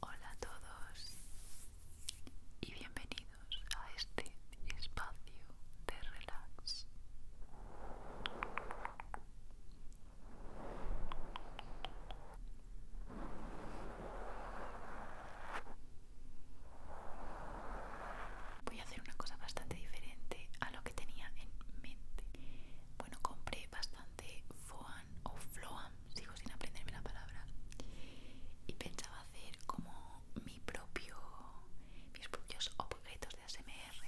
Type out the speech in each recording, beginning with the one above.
Hola a todos y bienvenidos a este espacio de relax. Voy a hacer una cosa bastante diferente a lo que tenía en mente. Bueno, compré bastante Foam o Floam sigo sin aprenderme la palabra y pensaba hacer como mi propio mis propios objetos de ASMR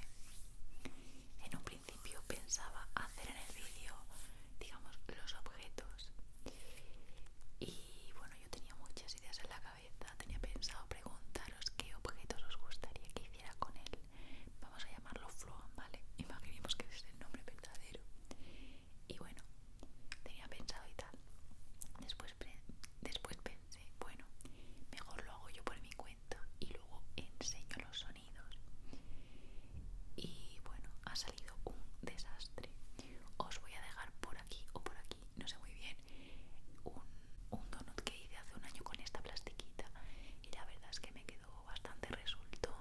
en un principio pensaba hacer en el vídeo digamos los objetos y bueno yo tenía muchas ideas en la cabeza tenía pensado preguntaros qué objetos os gustaría que hiciera con él vamos a llamarlo Floan vale imaginemos que es el nombre verdadero y bueno, tenía pensado y tal. Después, después pensé, bueno, mejor lo hago yo por mi cuenta y luego enseño los sonidos. Y bueno, ha salido un desastre. Os voy a dejar por aquí o por aquí, no sé muy bien, un, un donut que hice hace un año con esta plastiquita. Y la verdad es que me quedó bastante resultón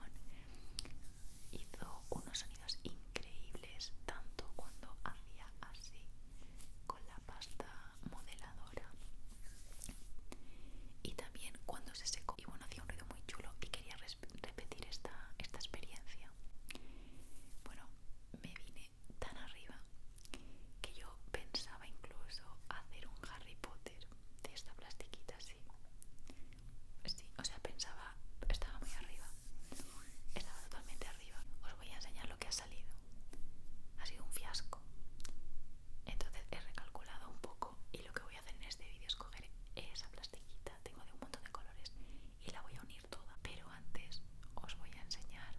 hizo unos sonidos increíbles tanto cuando hacía así con la pasta modeladora y también cuando se secó y bueno hacía un ruido muy chulo y quería repetir esta, esta experiencia bueno me vine tan arriba que yo pensaba incluso hacer un Harry Potter de esta plastiquita así sí, o sea, pensaba, estaba muy arriba, estaba totalmente arriba. Os voy a enseñar lo que ha salido. Ha sido un fiasco. Entonces he recalculado un poco y lo que voy a hacer en este vídeo es coger esa plastiquita, tengo de un montón de colores y la voy a unir toda. Pero antes os voy a enseñar,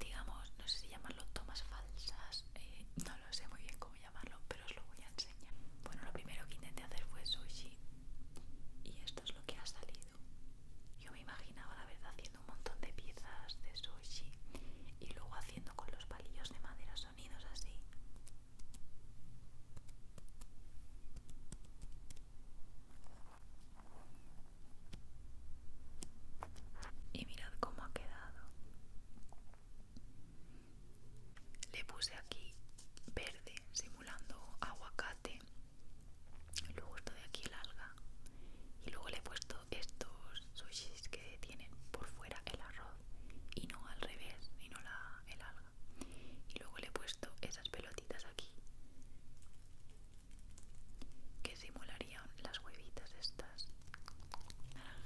digamos, no sé si llamarlo tomas falsas, eh, no sé muy bien cómo llamarlo, pero os lo voy a enseñar. Bueno, lo primero que intenté hacer fue sushi y esto es lo que ha salido. Yo me imaginaba la verdad haciendo un montón de piezas de sushi y luego haciendo con los palillos de madera sonidos así. Y mirad cómo ha quedado. Le puse aquí verde simulando aguacate. Luego esto de aquí el alga. Y luego le he puesto estos sushis que tienen por fuera el arroz y no al revés, y no la, el alga. Y luego le he puesto esas pelotitas aquí que simularían las huevitas estas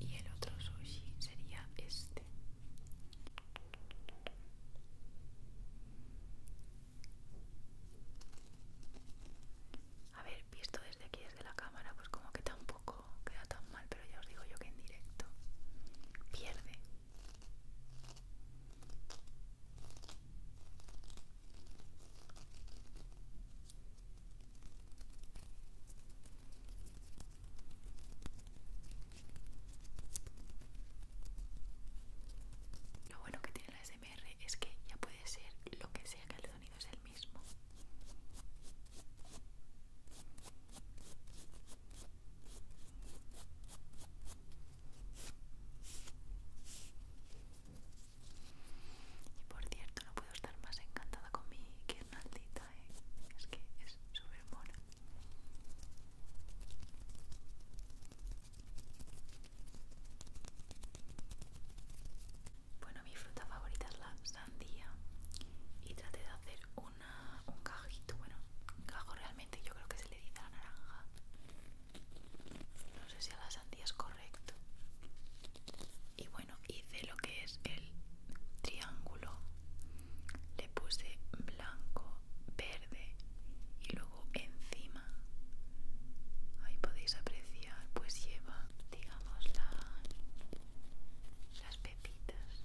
y el otro sushi sería este a ver visto desde aquí desde la cámara pues como que tampoco queda tan mal pero ya os digo yo que en directo pierde lo bueno que tiene la SMR es que ya puede ser lo que sea que el sonido es el mismo. Y por cierto, no puedo estar más encantada con mi guirnaldita es que es súper buena Bueno, mi fruta favorita es la sandía y traté de hacer una, un cajito, bueno, un cajo realmente yo creo que se le dice a la naranja. No sé si a la sandía es correcto. Y bueno, bueno hice lo que es el triángulo le puse blanco verde y luego encima ahí podéis apreciar pues lleva digamos las pepitas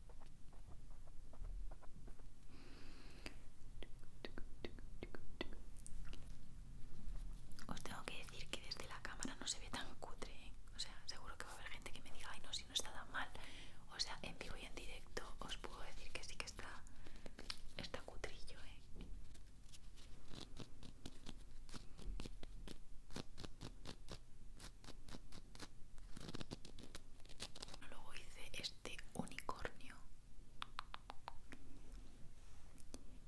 Os tengo que decir que desde la cámara no se ve tan cutre, ¿eh? o sea, seguro que va a haber gente que me diga, ay no, si no está tan mal. O sea, en vivo y en directo os puedo decir que sí que está, está cutrillo, ¿eh? Luego hice este unicornio.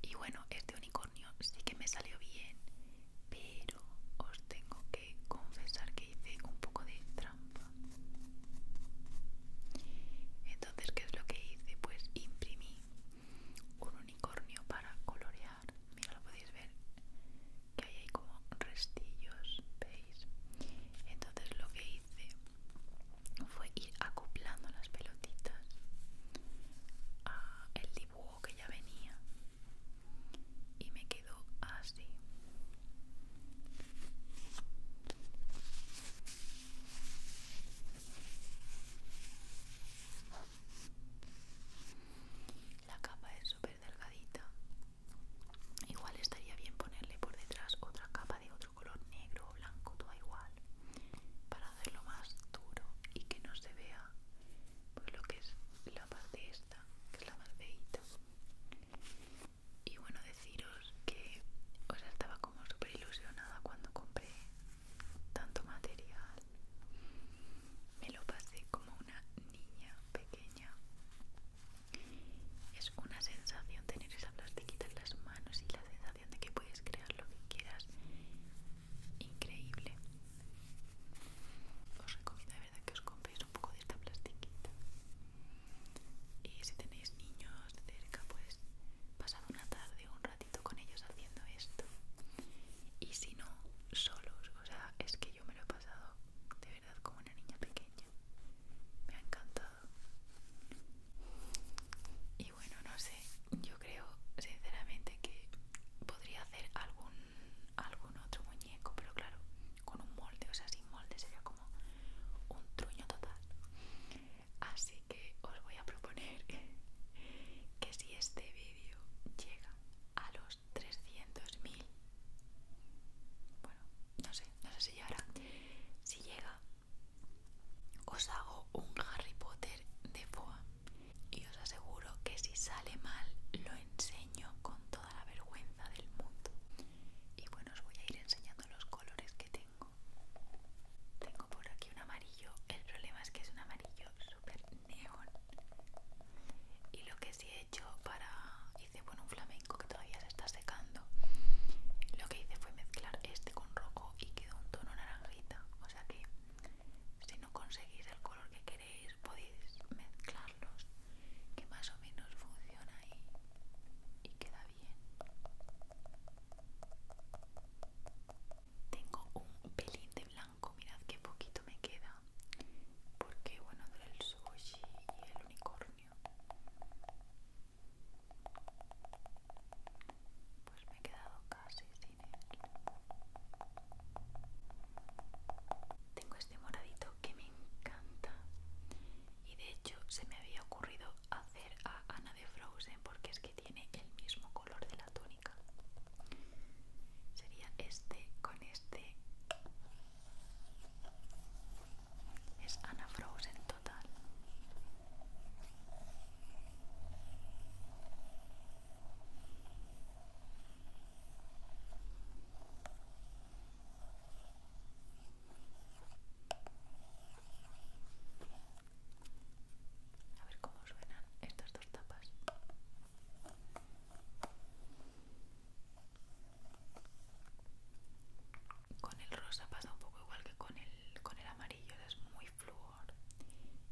Y bueno, este unicornio sí que me salió bien, pero os tengo que confesar que hice un poco de trampa. Entonces, ¿qué es lo que hice? Pues imprimí un unicornio para colorear. Mira, lo podéis ver que ahí hay como restillos, entonces lo que hice fue ir acoplando las pelotitas al el dibujo que ya venía y me quedó así la capa es súper delgadita. Igual estaría bien ponerle por detrás otra capa de otro color negro o blanco, todo igual, para hacerlo más duro y que no se vea pues, lo que es la parte esta, que es la más Y bueno, deciros que estaba como súper ilusionada cuando compré tanto material. Me lo pasé como una niña pequeña. Es una sensación tener esa plastiquita en las manos y la sensación de que puedes crear lo que quieras. Increíble. Os recomiendo de verdad que os compréis un poco de esta plastiquita. Y si tenéis niños cerca, pues pasad una tarde, o un ratito con ellos haciendo esto. Y si no, solos. O sea, es que yo me lo he pasado de verdad como una niña pequeña. Me ha encantado. Y bueno, no sé, yo creo sinceramente que podría hacer algún, algún otro muñeco, pero claro, con un molde, o sea, sin molde sería como un truño total. Así que os voy a proponer que si este vídeo llega a los 300.000. Bueno, no sé, no sé si llegará. Si llega, os hago un Harry Potter de Foa. Y os aseguro que si sale mal, lo enseño con toda la vergüenza del mundo. Y bueno, os voy a ir enseñando los colores que tengo. Tengo por aquí un amarillo. El problema es que es un amarillo súper neón. Y lo que sí he hecho para... Hice bueno, un flamenco que todavía se está secando lo que hice fue mezclar este con rojo y quedó un tono naranjita o sea que si no conseguís el color que queréis podéis mezclarlos que más o menos funciona y, y queda bien tengo un pelín de blanco mirad qué poquito me queda porque bueno del sushi y el unicornio pues me he quedado casi sin él tengo este moradito que me encanta y de hecho se me había ocurrido hacer a Ana de Frozen porque es que tiene el mismo color de la túnica sería este con este es Ana en total. A ver cómo suenan estas dos tapas. Con el rosa pasa un poco igual que con el, con el amarillo, es muy flúor.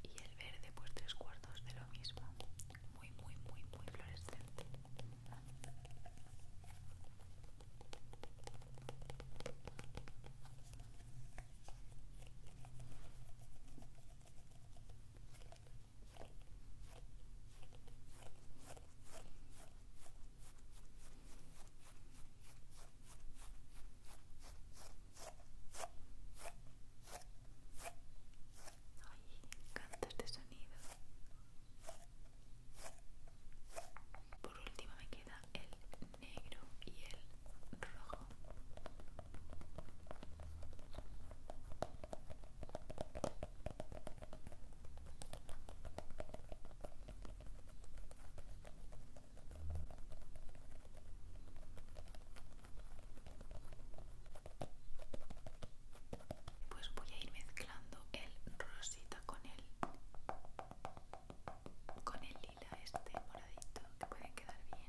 Y el verde, pues tres cuartos de lo mismo. Muy, muy, muy, muy fluorescente. ¡Cantos de este sonido. Por último me queda el negro y el rojo. Pues voy a ir mezclando el rosita con el con el lila este moradito que puede quedar bien.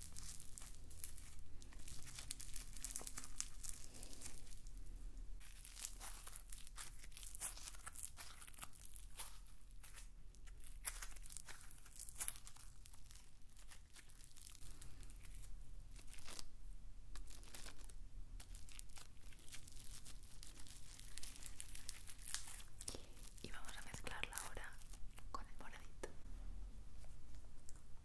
Y vamos a mezclarla ahora con el moradito.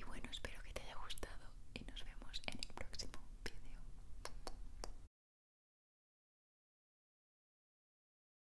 Y bueno, espero que te haya gustado y nos vemos en el próximo video.